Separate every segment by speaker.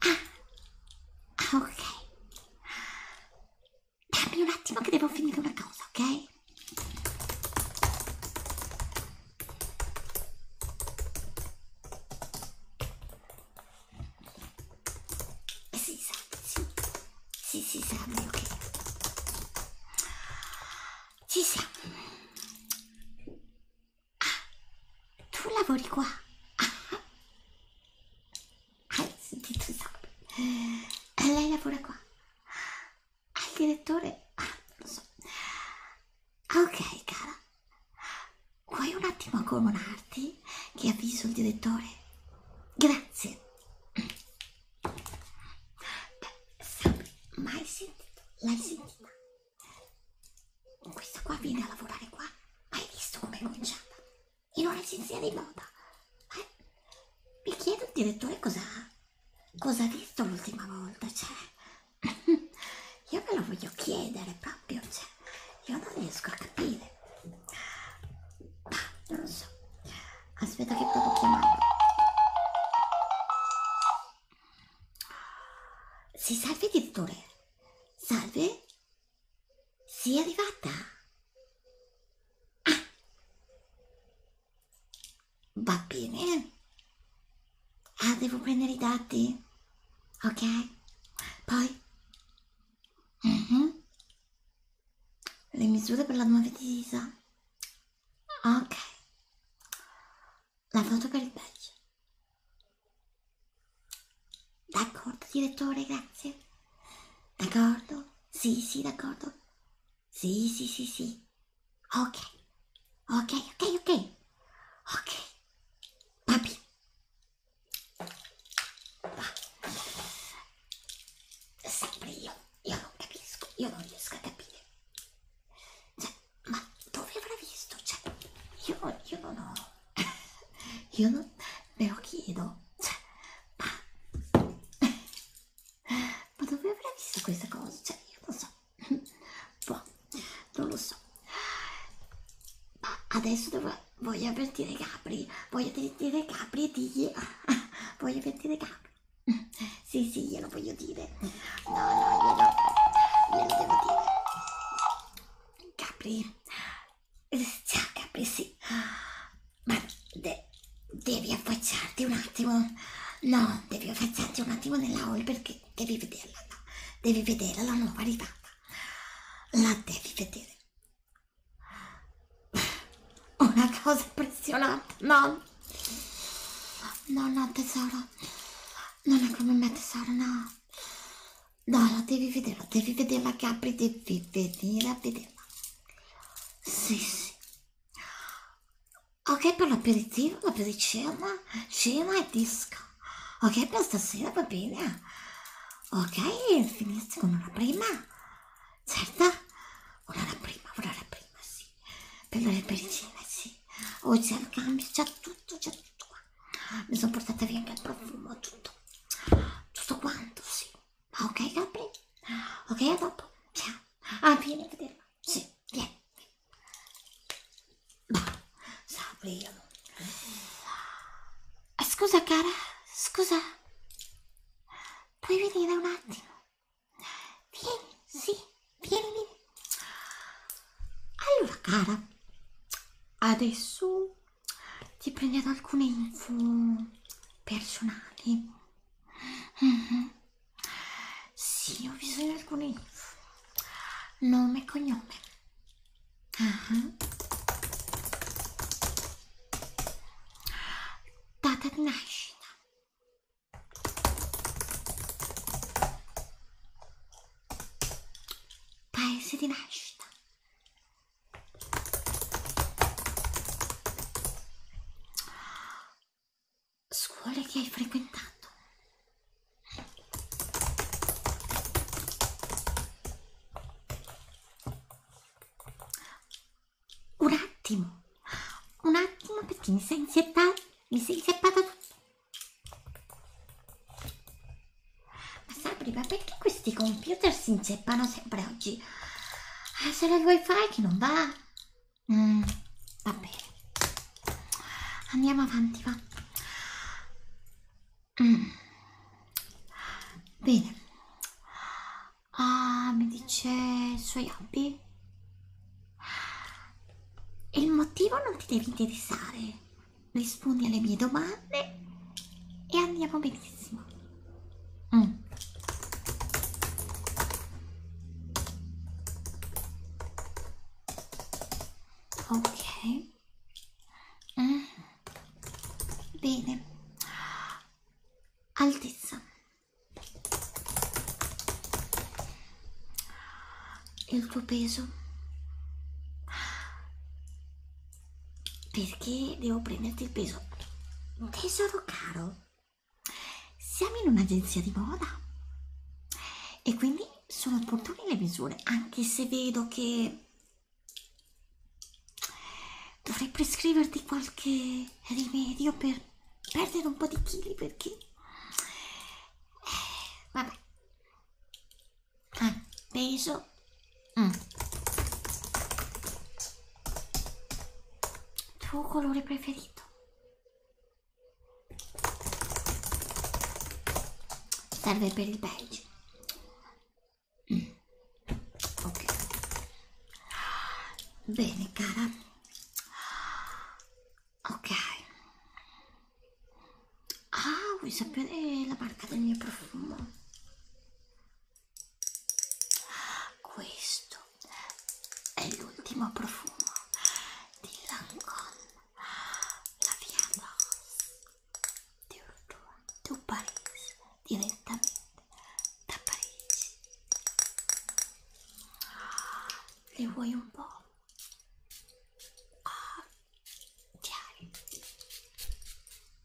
Speaker 1: Ah, ok. Dammi un attimo che devo finire una cosa, ok? Si eh, sa, sì. Sì, si sa, ok. Ci siamo. Ah, tu lavori qua. Ah. Hai sentito esatto. Lei lavora qua. Al ah, direttore... Ah, non so. Ok, cara. Vuoi un attimo accomunarti che avviso il direttore? Grazie. Beh, mai sentito? L'hai sentita? Questa qua viene a lavorare qua. Hai visto com'è conciata? In un'agenzia di moda. Eh? Mi chiedo il direttore cosa cosa ha visto l'ultima volta, cioè. Io me lo voglio chiedere proprio, cioè. Io non riesco a capire. Ma non lo so. Aspetta che provo a chiamarlo. Sei salve, direttore? Salve? Sei arrivata? Ah! Va bene. Ah, devo prendere i dati. Ok? Poi? Mm -hmm. Le misure per la nuova divisa. Ok. La foto per il Belgio. D'accordo, direttore, grazie. D'accordo? Sì, sì, d'accordo. Sì, sì, sì, sì. Ok. Ok, ok, ok. Ok. Papi. Sempre io. Io non capisco. Io non riesco a capire. Cioè, ma dove avrà visto? Cioè, io, io non ho, io non me lo chiedo, cioè, ma, ma dove avrà visto questa cosa? Cioè, io non so, boh, non lo so, ma adesso devo, voglio avvertire Gabri, voglio avvertire Gabri e digli, voglio avvertire Gabri, sì sì, glielo voglio dire, dire. No, no, glielo, glielo devo dire. Capri. Ciao, Capri, sì. Ma de devi affacciarti un attimo. No, devi affacciarti un attimo nella hall perché devi vederla, no. Devi vedere la nuova arrivata. La devi vedere. Una cosa impressionante, no? No, no, tesoro. Non è come me tesoro, no. No, la devi vederla, devi vederla Gabri, devi vederla, vederla. Sì, sì. Ok per l'aperitivo, l'apericena, cena e disco. Ok per stasera va bene. Ok, finisco con una prima. Certo? Un'ora prima, un'ora prima, sì per le pericine, sì. Oggi al cambio c'è tutto, c'è tutto qua. Mi sono portata via anche il profumo, tutto. Tutto quanto, sì. Ma ok, Gabri? Ok, a dopo. Ciao. Ah, vieni a vederla. Sì, vieni. Bah, eh, sapevo. Scusa, cara, scusa. Puoi venire un attimo? Vieni, sì. Vienimi. Allora, cara, adesso ti prenderò alcune info personali. Mm-hmm. Sì, ho bisogno di alcune info. Nome e cognome. Uh-huh. Data di nascita paese di nascita. Scuole che hai frequentato. Un attimo un attimo perché mi sei inzieppata mi sei inzieppata ma Sabri ma perché questi computer si inzeppano sempre oggi eh, sarà il wifi che non va mm, va bene andiamo avanti va mm. bene ah mi dice i suoi hobby e il motivo non ti deve interessare. Rispondi alle mie domande e andiamo benissimo. Mm. Ok. Mm. Bene. Altezza il tuo peso perché devo prenderti il peso tesoro caro siamo in un'agenzia di moda e quindi sono opportune le misure anche se vedo che dovrei prescriverti qualche rimedio per perdere un po' di chili perché eh, vabbè ah, peso mm. tuo colore preferito serve per il beige mm. ok bene cara ok ah vuoi sapere la marca del mio profumo questo è l'ultimo profumo di Lancôme la via Rose di Urtua, di Parigi direttamente da Parigi. Ah, ne vuoi un po'? Ah, chiari.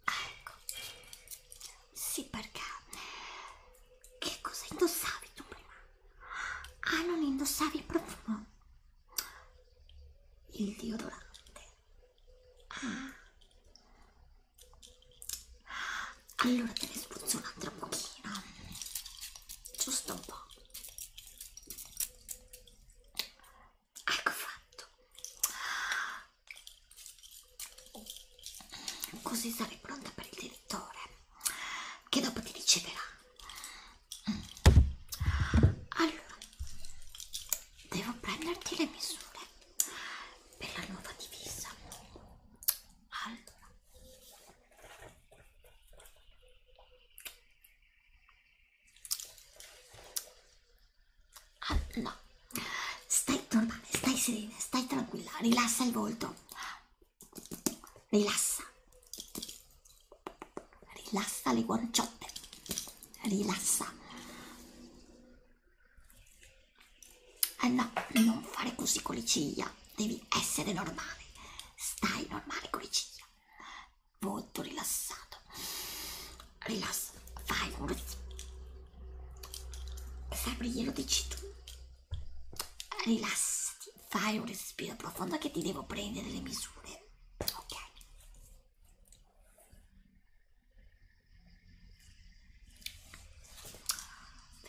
Speaker 1: Ah, ecco. Sì, perché che cosa indossavi tu prima? Ah, non indossavi il profumo? Il deodorante. Ah allora te ne spruzzo un'altra pochina giusto un po' ecco fatto così sarai pronta per il direttore che dopo ti riceverà allora devo prenderti le misure per la nuova divisa allora Ah, no, stai normale, stai serena, stai tranquilla, rilassa il volto. Rilassa. Rilassa le guanciotte. Rilassa. Anna, eh non fare così con le ciglia, devi essere normale, stai normale con le ciglia, molto rilassato, rilassa, fai un respiro, sempre glielo dici tu, rilassati, fai un respiro profondo che ti devo prendere le misure, ok?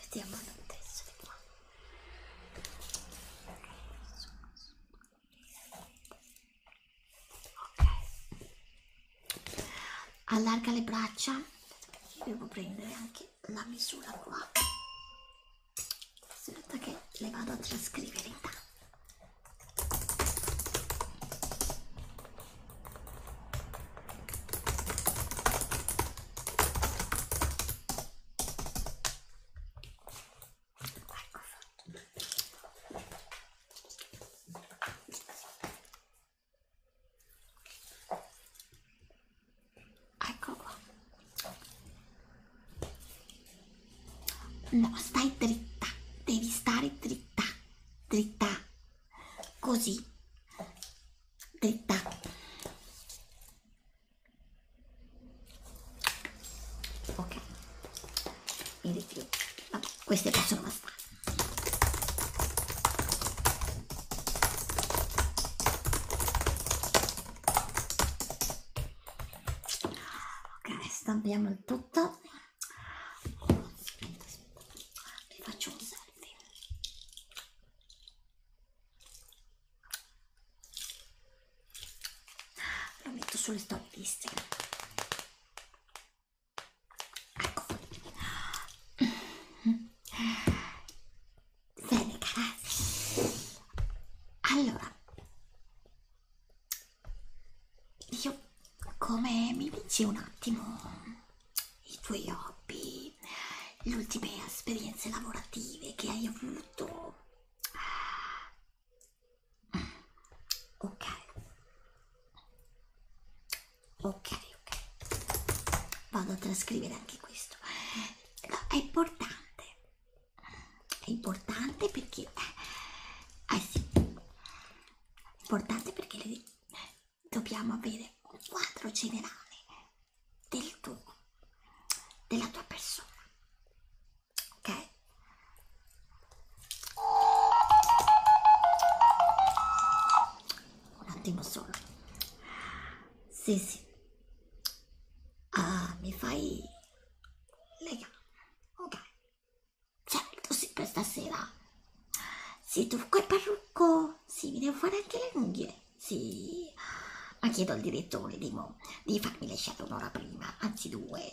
Speaker 1: Vediamo adesso di qua. Ok. Allarga le braccia. Aspetta, devo prendere anche la misura qua. Aspetta che le vado a trascrivere intanto. Ecco fatto. Ecco qua. No, stai dritta, devi stare dritta, dritta, così dritta ok mi ritiro vabbè queste possono bastare ok stampiamo il tutto aspetta, aspetta. vi faccio un segno caldi lo metto sulle stoppistiche ecco bene grazie allora io come mi dici un attimo i tuoi hobby, le ultime esperienze lavorative che hai avuto. Ok, ok, ok. Vado a trascrivere anche questo. No, è importante, è importante perché, eh, eh sì, è importante perché le, dobbiamo avere un quadro generale del tuo, della tua persona. Ok? Un attimo solo. Sì, sì. Ah, mi fai le gambe. Ok. Certo, sì, per stasera. Sì, tu col parrucco. Sì, mi devo fare anche le unghie. Sì. Ma chiedo al direttore di, mo, di farmi le shadow un'ora prima, anzi due,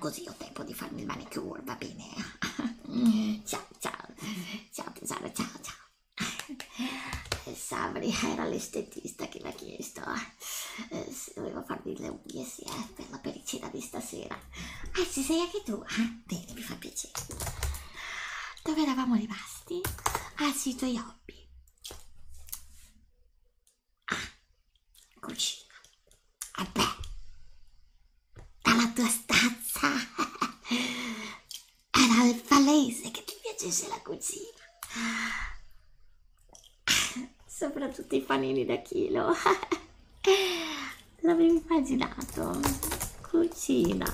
Speaker 1: così ho tempo di farmi il manicure, va bene? ciao, ciao, ciao tesoro, ciao, ciao. Eh, Sabri era l'estetista che mi ha chiesto eh, se dovevo farmi le unghie, sì, eh, per la pericina di stasera. Ah, ci sei anche tu? Eh? Bene, mi fa piacere. Dove eravamo rimasti? Ah, sì, tuoi hobby. Ah, cucina. Vabbè, eh dalla tua stanza era il palese che ti piacesse la cucina. Soprattutto i panini da chilo. l'avevo immaginato cucina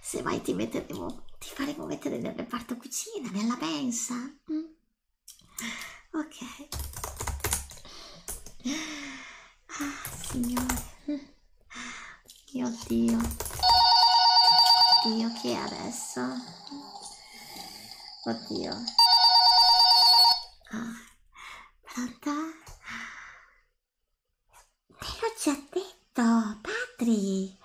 Speaker 1: se mai ti metteremo ti faremo mettere nel reparto cucina nella mensa mm? ok ah signore mio mm. dio dio che è adesso oddio ah Pronto? Te l'ho già detto, Patri.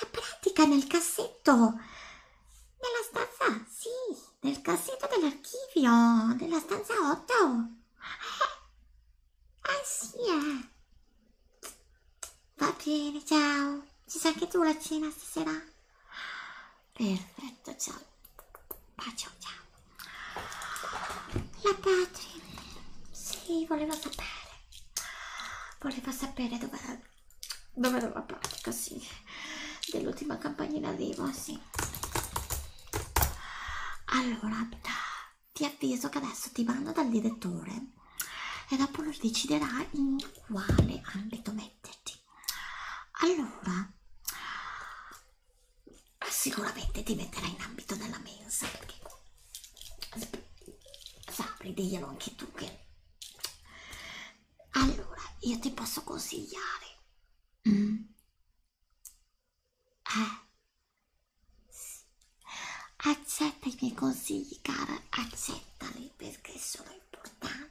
Speaker 1: La pratica nel cassetto. Nella stanza, sì, nel cassetto dell'archivio, nella stanza 8. Eh, ah sì, eh. Va bene, ciao. Ci sei anche tu la cena stasera? Perfetto, ciao. Bacio, ciao. La Patri, sì, voleva sapere. Voleva sapere dove dove era la pratica, sì. Dell'ultima campanina vivo, sì. Allora, ti avviso che adesso ti mando dal direttore e dopo lo deciderai in quale ambito metterti allora sicuramente ti metterà in ambito della mensa perché sapri diglielo anche tu che allora io ti posso consigliare mm. eh. sì. accetta i miei consigli cara accettali perché sono importanti importante.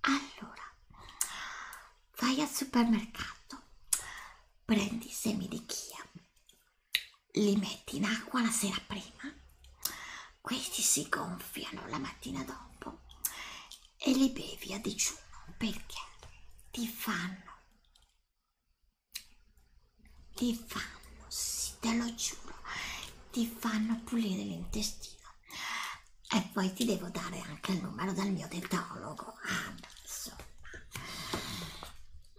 Speaker 1: Allora, vai al supermercato, prendi i semi di chia, li metti in acqua la sera prima, questi si gonfiano la mattina dopo e li bevi a digiuno perché ti fanno, ti fanno, sì, te lo giuro, ti fanno pulire l'intestino e poi ti devo dare anche il numero del mio dentologo ah, adesso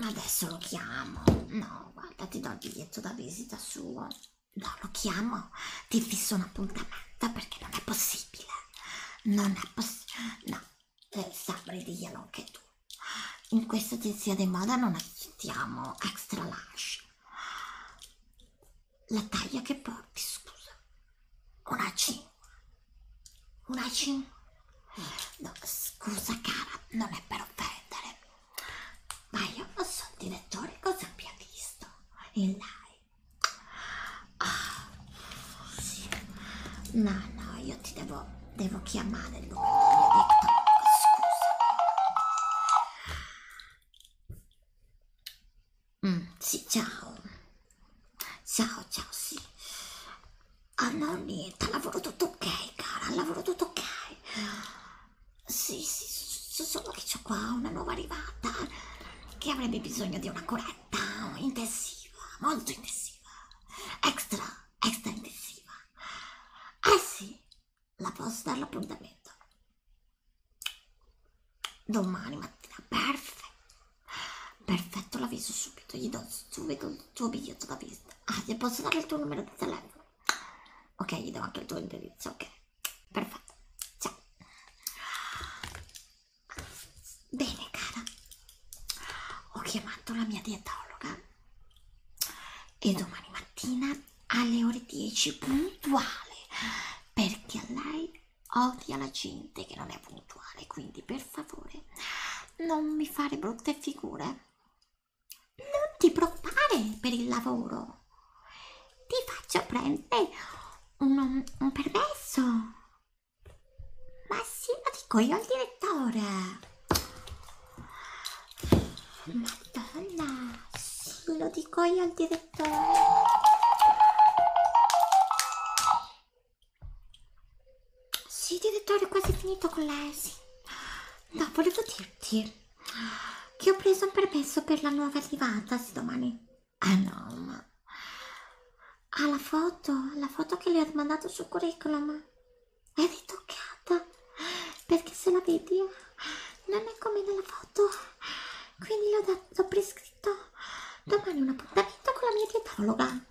Speaker 1: adesso lo chiamo no guarda ti do il biglietto da visita suo no lo chiamo ti fisso un appuntamento perché non è possibile non è possibile no eh, sabri diglielo anche tu in questa agenzia di moda non accettiamo extra large la taglia che porti, scusa. Una C. Una C. Eh, no, scusa cara, non è per offendere. Ma io non so il direttore cosa abbia visto. In live. Oh, ah, sì. No, no, io ti devo, devo chiamare il numero del mio Victor. Scusa. Mm, sì, ciao. Ciao, ciao, sì. Ah, no, niente, al lavoro tutto ok, cara, al lavoro tutto ok. Sì, sì, solo che c'ho qua una nuova arrivata che avrebbe bisogno di una corretta intensiva, molto intensiva, extra, extra intensiva. Eh sì, la posso dare l'appuntamento domani mattina, perfetto, perfetto, l'avviso subito, gli do subito il tuo biglietto da visita, ah, ti posso dare il tuo numero di telefono, ok, gli do anche il tuo indirizzo, ok, perfetto, ciao, bene cara, ho chiamato la mia dietologa e domani mattina alle ore 10 puntuale perché lei odia la gente che non è puntuale quindi per favore non mi fare brutte figure non ti preoccupare per il lavoro ti faccio prendere un, un permesso ma sì lo dico io al direttore Madonna, sì, lo dico io al direttore. Sì, direttore, è quasi finito con la ESI. No, volevo dirti che ho preso un permesso per la nuova arrivata, sì, domani. Ah no, ma... Ah, la foto, la foto che le ho mandato sul curriculum è ritoccata perché se la vedi non è come nella foto quindi l'ho prescritto domani un appuntamento con la mia dietologa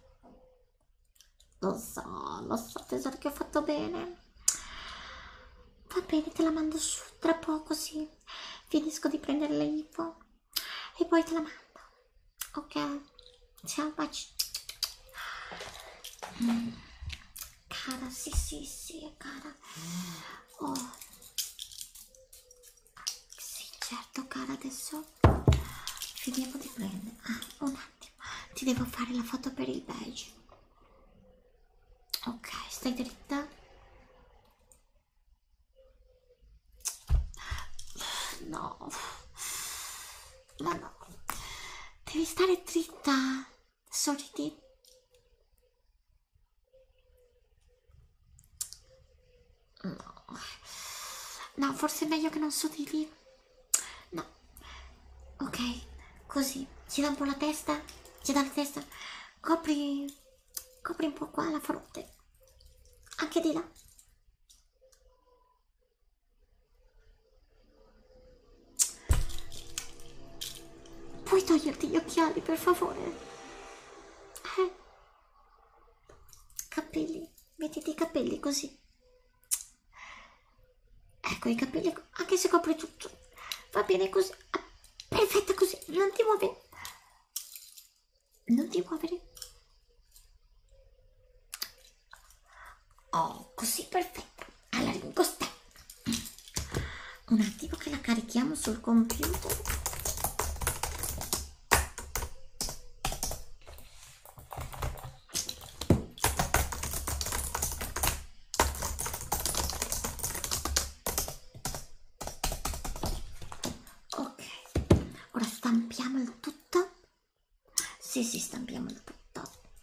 Speaker 1: lo so, lo so tesoro che ho fatto bene va bene, te la mando su tra poco sì finisco di prendere le info e poi te la mando ok ciao baci mm cara sì sì sì cara mm. oh sì certo cara adesso finiamo di prendere ah un attimo ti devo fare la foto per il badge ok stai dritta no ma no devi stare dritta sorridi no no forse è meglio che non sorridi no ok così ci dà un po' la testa ci dà la testa copri copri un po' qua la fronte anche di là Puoi toglierti gli occhiali, per favore? Eh. Capelli, mettiti i capelli così. Ecco i capelli, anche se copri tutto. Va bene così. Ah, perfetta così, non ti muovere. Non ti muovere. Oh, così perfetta, alla ringosta. Un attimo che la carichiamo sul computer. Ok, ora stampiamo il tutto. Sì, sì, stampiamo il tutto.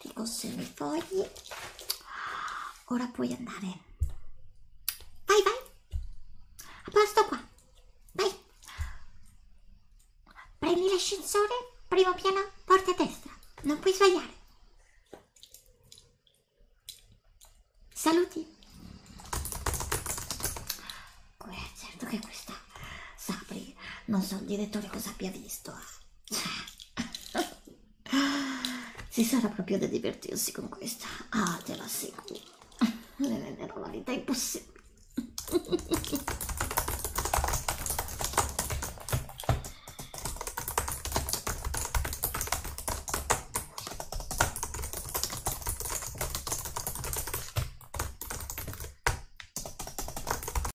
Speaker 1: ti consegno i fogli ora puoi andare vai vai a posto qua vai prendi l'ascensore primo piano porta a destra non puoi sbagliare saluti oh, certo che questa Sapri non so il direttore cosa abbia visto eh si sarà proprio da divertirsi con questa. Ah, te la assicuro. Le renderò la vita impossibile.